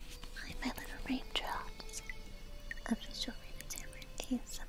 Hi, my little raindrops. I'm just showing you Tamron ASMR.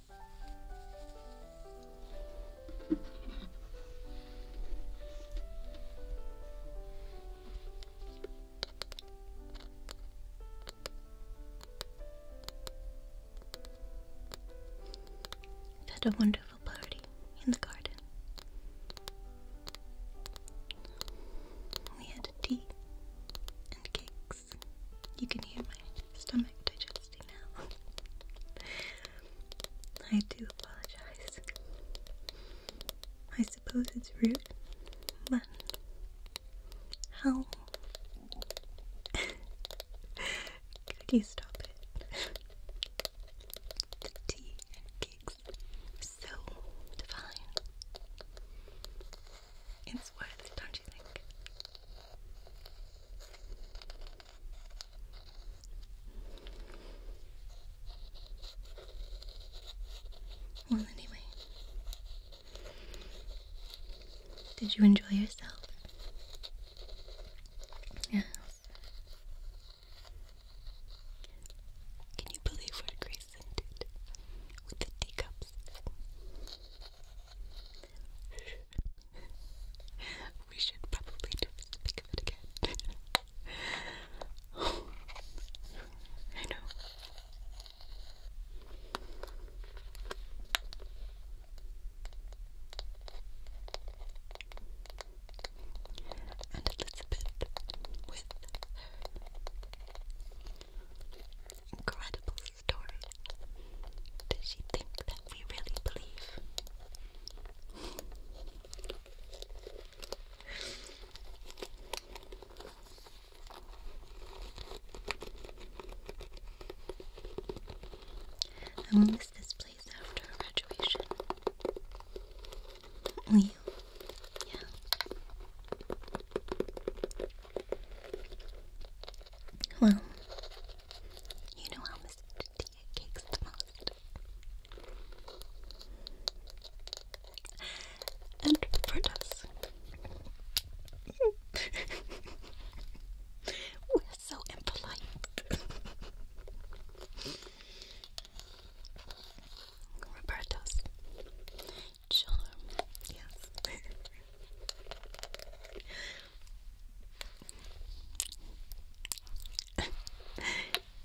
we a wonderful party in the garden. We had tea and cakes. You can hear my stomach digesting now. I do apologize. I suppose it's rude, but how could you stop it? tea and cakes so divine it's worth it, don't you think? Well, anyway, did you enjoy yourself? Yes. Can you believe what Grayson did with the teacups? we should probably do. speak of it again. I know. And Elizabeth with incredible does she think that we really believe? I will miss this place after graduation. Will you? Yeah. Well, you know how Miss Tia cakes the most. And for We're so impolite. Roberto's charm. Yes.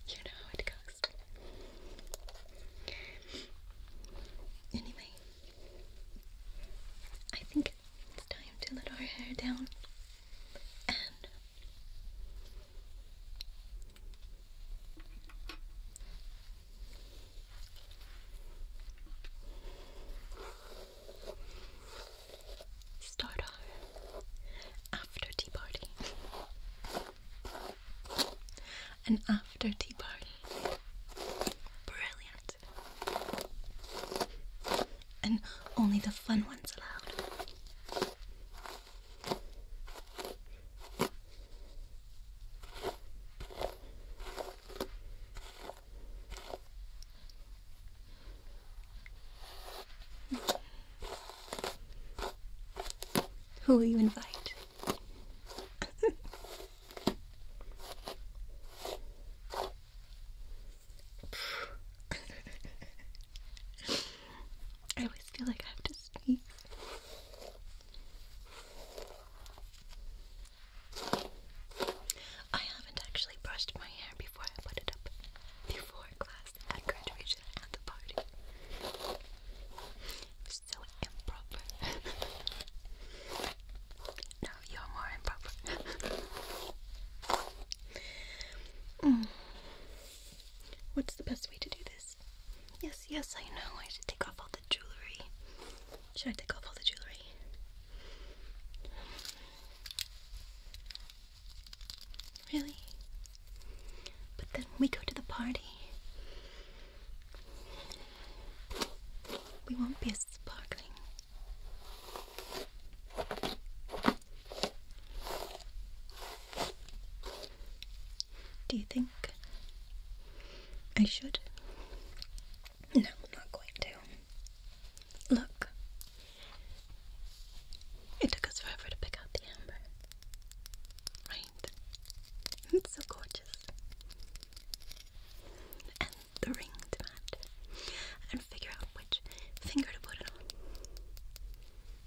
you know how it goes. Anyway, I think it's time to let our hair down and Start off after tea party. An after tea party. Brilliant. And only the fun ones allowed. Who will you invite? I always feel like I have to sneeze. I haven't actually brushed my hair before I put it up before class at graduation at the party. It's improper. no, you're more improper. Mm. What's the best way to do this? Yes, yes, I know. I should take off all the jewelry. Should I take off all the jewellery? Really? But then we go to the party, we won't be as sparkling. Do you think I should? No, not going to. Look. It took us forever to pick out the amber. Right? It's so gorgeous. And the ring to match. And figure out which finger to put it on.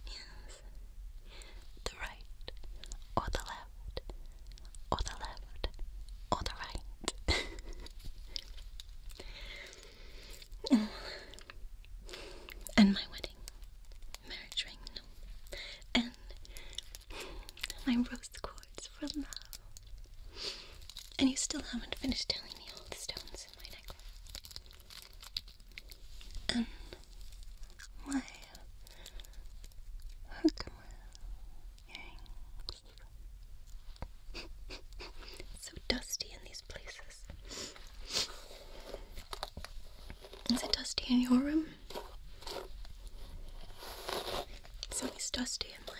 Yes or the left, or the left, or the right. and my wedding, marriage ring, And my rose quartz for love. And you still haven't finished telling me all the stones in my necklace. And my so dusty in these places. Is it dusty in your room? It's always dusty in my room.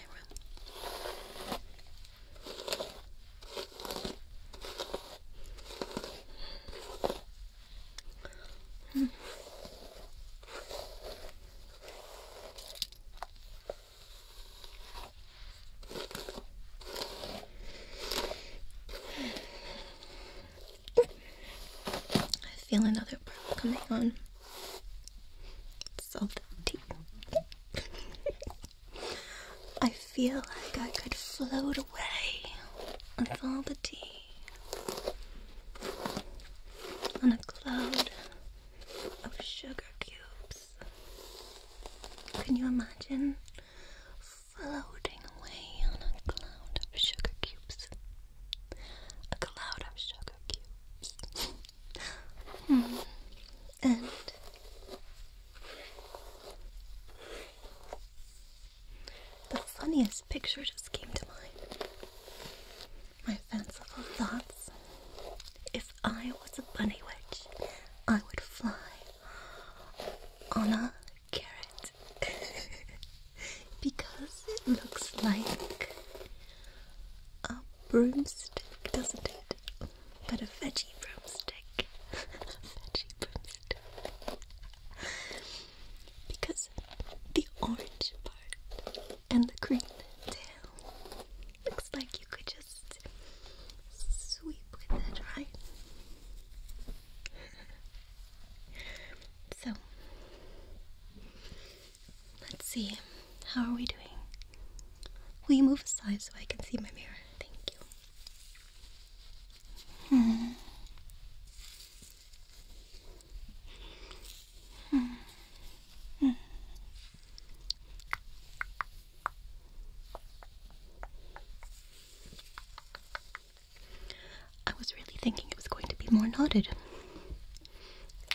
I feel another pearl coming on. It's I feel like I could float away with all the tea on a cloud of sugar cubes. Can you imagine floating away on a cloud of sugar cubes? A cloud of sugar cubes. Hmm. And the funniest picture just came to mind. My fanciful thoughts. If I was a bunny witch, I would fly on a carrot because it looks like a broomstick, doesn't it? But a veggie broomstick. a veggie broomstick because the orange part and the green tail looks like you could just sweep with it, right? So let's see, how are we doing? Will you move aside so I can see my mirror? Thank you. Hmm. Mm. Mm. I was really thinking it was going to be more knotted,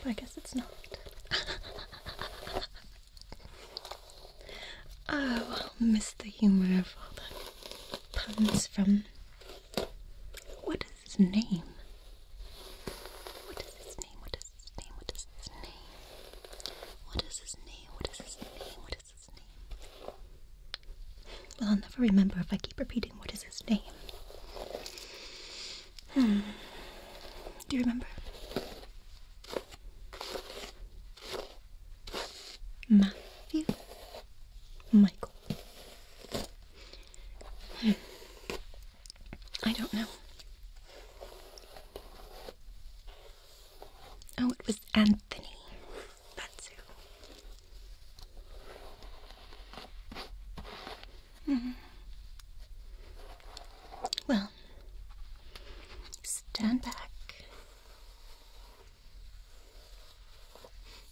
but I guess it's not. oh, miss the humor of all the puns from what is his name? What is his name? What is his name? What is his name? What is his name? What is his name? What is his name? Well, I'll never remember if I keep repeating what is his name. Hmm. Do you remember? Matthew? Michael. I don't know. Oh, it was Anthony. That's who. Mm-hmm. Well, stand back.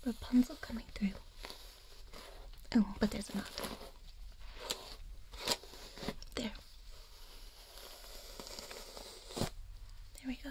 Rapunzel coming through. Oh, but there's a knot. There. There we go.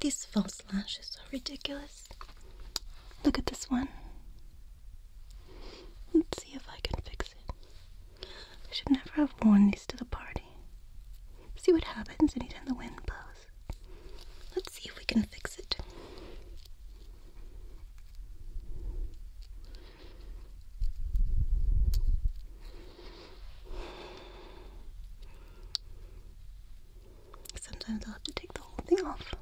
These false lashes are ridiculous. Look at this one. Let's see if I can fix it. I should never have worn these to the party. See what happens anytime the wind blows. Let's see if we can fix it. Sometimes I'll have to take the whole thing off.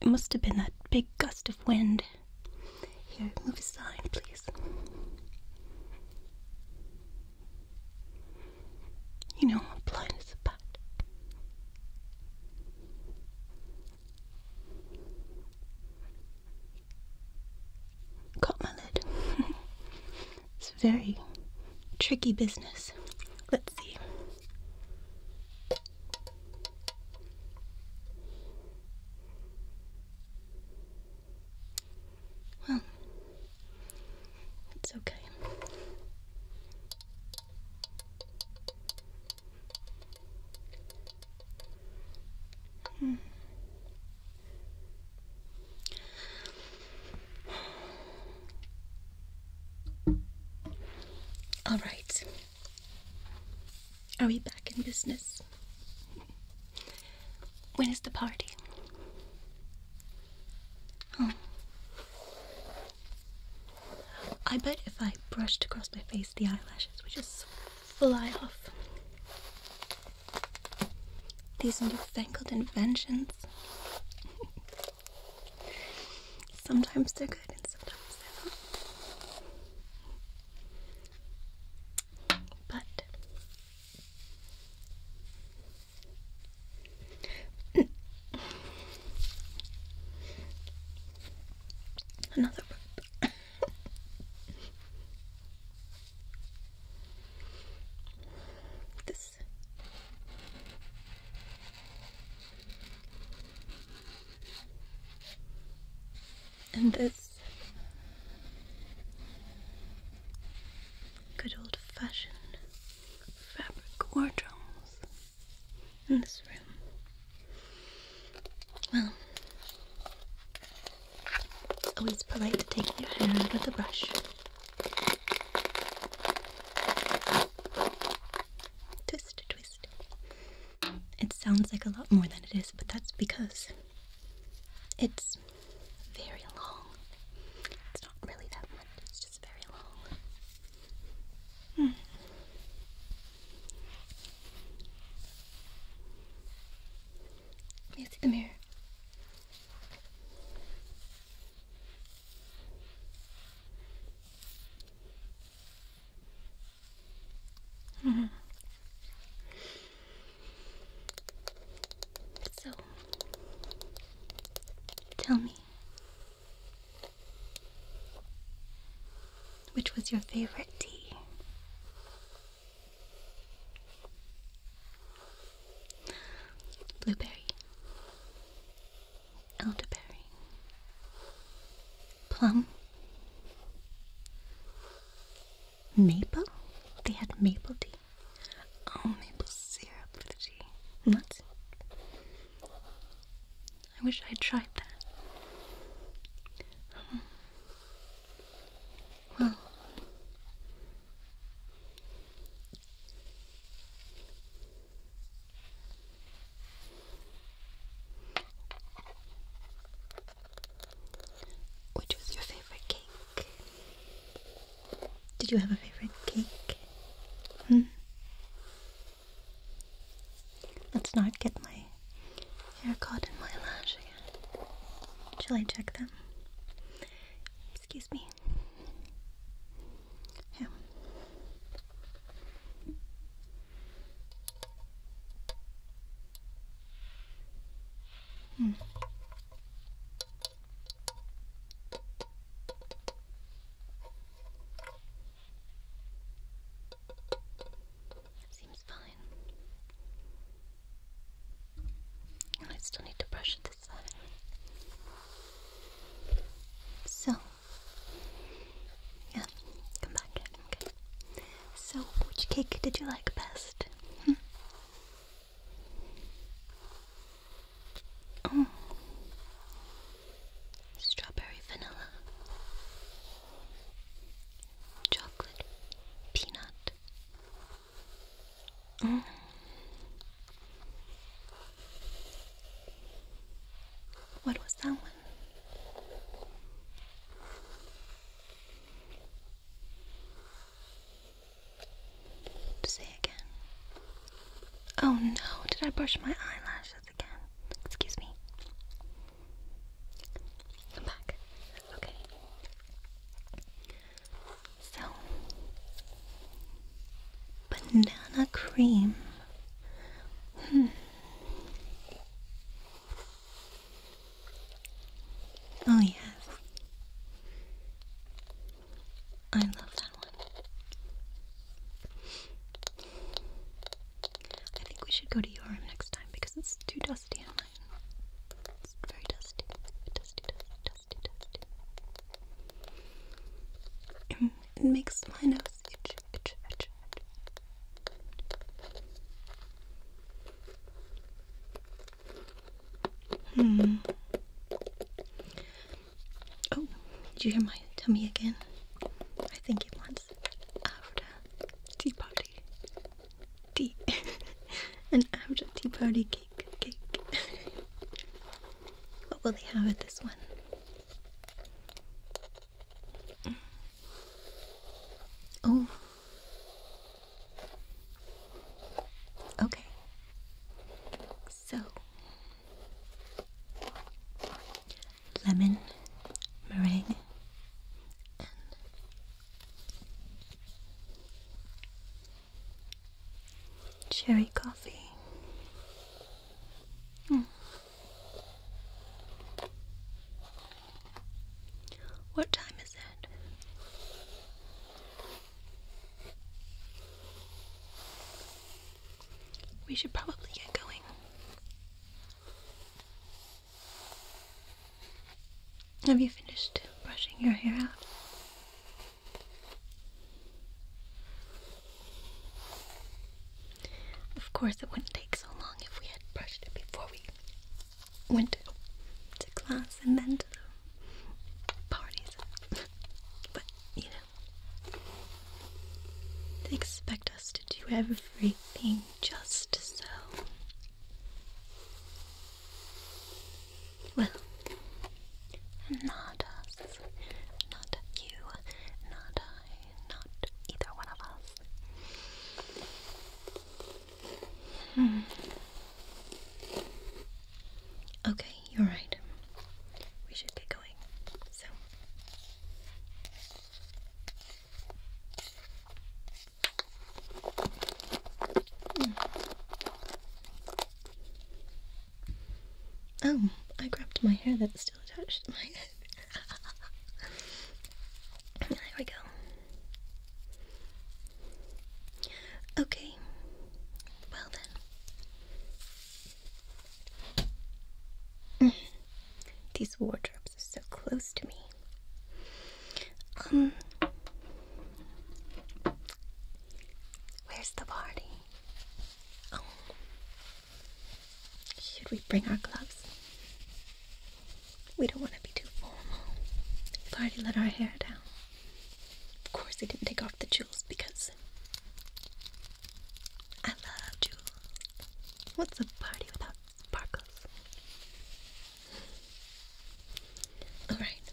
It must have been that big gust of wind. Here, move aside, please. You know what blind is about. Caught my lid. it's very tricky business. Let's see. Well, it's okay. Hmm. All right. Are we back in business? When is the party? Oh. I bet if I brushed across my face, the eyelashes would just fly off. These newfangled inventions. sometimes they're good and sometimes they're not. But another burp. This. And this good old fashioned fabric wardrobes in this room. Well, always polite to take your hair out of the brush. Twist, twist. It sounds like a lot more than it is, but that's because it's very long. It's not really that much, it's just very long. Hmm. May I see the mirror? Mm -hmm. So, tell me, which was your favorite tea? blueberry, elderberry, plum, maple. They had maple tea. Oh, maple syrup for the tea. Nuts. I wish I had tried that. Hmm. Wow. was your favorite cake? Did you have a favorite cake? Hmm? Let's not get my hair caught in my lash again. Shall I check them? Excuse me. Yeah. Hmm. Seems fine. I still need to brush it this side. So, yeah, come back. Okay. So, which cake did you like best? Hm? Oh, strawberry vanilla chocolate peanut. Mm. What was that one? Say again. Oh no, did I brush my eyelashes again? Excuse me i back. Okay. So, banana cream. Hmm. Oh, yes. I love that one. I think we should go to your room next time because it's too dusty in mine. It's very dusty. Dusty, dusty, dusty, dusty. it makes my nose itch, itch, itch, itch. Hmm. Oh, did you hear my tummy again? I think it wants after tea party. Tea. and after tea party cake. Cake. what will they have at this one? Mm. Oh. Okay. So lemon meringue cherry coffee. Hmm. What time is it? We should probably get going. Have you finished brushing your hair out? Of course, it wouldn't take so long if we had brushed it before we went to, class and then to the parties. but, you know, they expect us to do everything just so. Well, not us, not you, not I, not either one of us. Hmm. Okay, you're right. We should get going. So. Oh, I grabbed my hair that's still attached to my head. there we go. Okay. Well then. These wardrobe lips is so close to me. Um, where's the party? Oh. should we bring our gloves? We don't want to be too formal. We've already let our hair down. Of course, I didn't take off the jewels because I love jewels. What's a party without sparkles? Alright.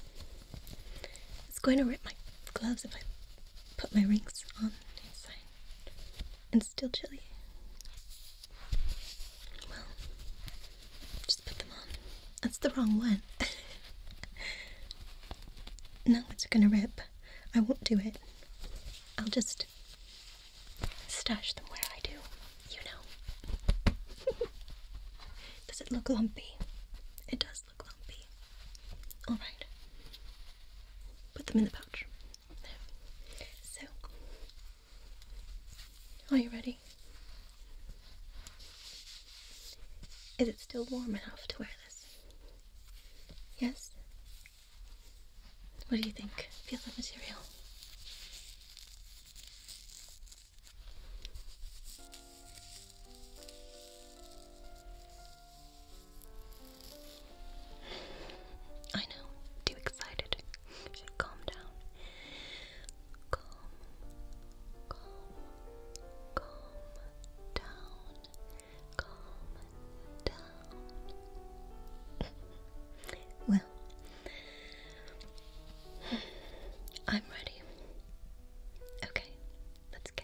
It's going to rip my gloves if I put my rings on inside. And still chilly. Well, just put them on. That's the wrong one. No, it's gonna rip. I won't do it. I'll just stash them where I do, you know. does it look lumpy? It does look lumpy. Alright. Put them in the pouch. There. So, are you ready? Is it still warm enough to wear this? Yes? What do you think? Feel the material. I know, too excited. should calm down. Calm, calm, calm down. well, I'm ready. Okay, let's go.